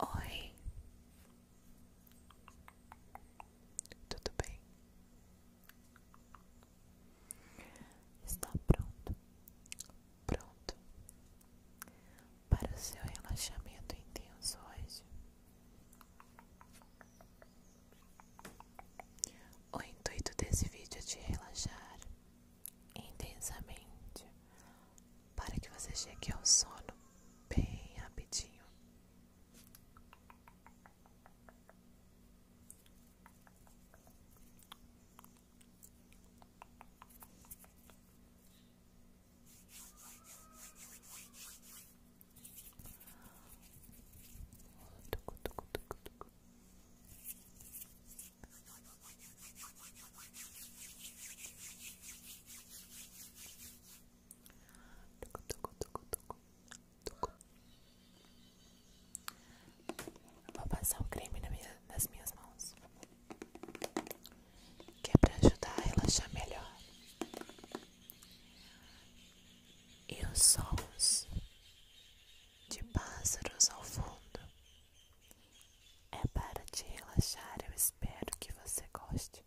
Oi, tudo bem? Está pronto, pronto para o seu relaxamento intenso hoje? O intuito desse vídeo é te relaxar intensamente para que você chegue ao sono bem rapidinho. Vou passar um creme nas minhas mãos, que é para ajudar a relaxar melhor. E os sons de pássaros ao fundo. É para te relaxar, eu espero que você goste.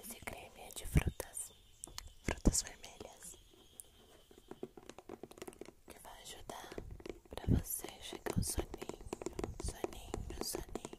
Esse creme é de frutas, frutas vermelhas, que vai ajudar pra você chegar ao soninho, soninho, soninho.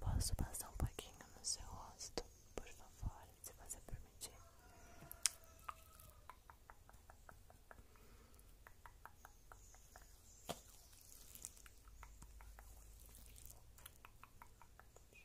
Posso passar um pouquinho no seu rosto, por favor, se você permitir? Deixa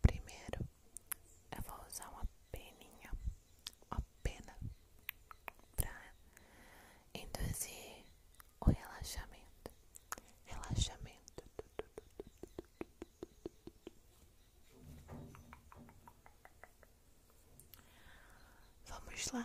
Primeiro, eu vou usar uma peninha, uma pena, para induzir o relaxamento. Relaxamento. Vamos lá.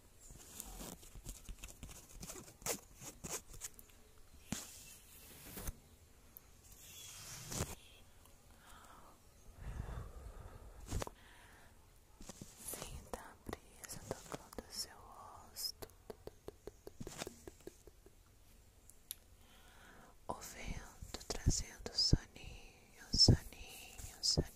Sinta a brisa tocando o seu rosto. O vento trazendo soninho, soninho, soninho.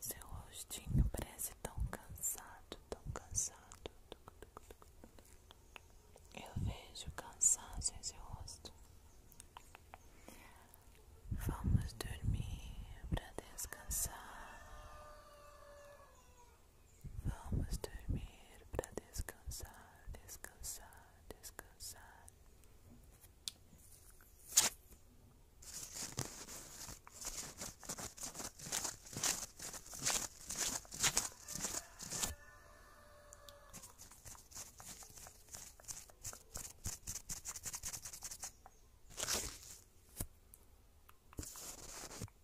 Seu rostinho parece tão cansado, tão cansado. Eu vejo cansaço em seu rosto. Vamos dormir para descansar. Vamos dormir para descansar, descansar, descansar.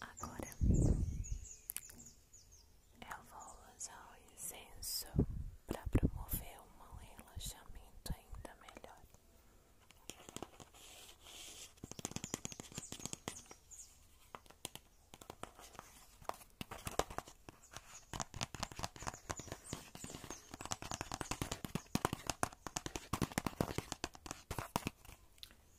Agora eu vou usar o incenso para promover um relaxamento ainda melhor.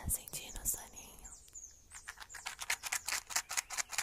Tá sentindo o soninho?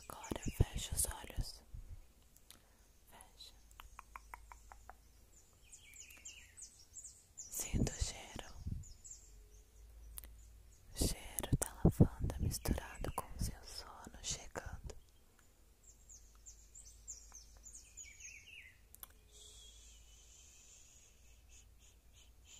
Agora fecha os olhos. Fecha. Sinta cheiro. cheiro da lavanda misturado com o seu sono chegando.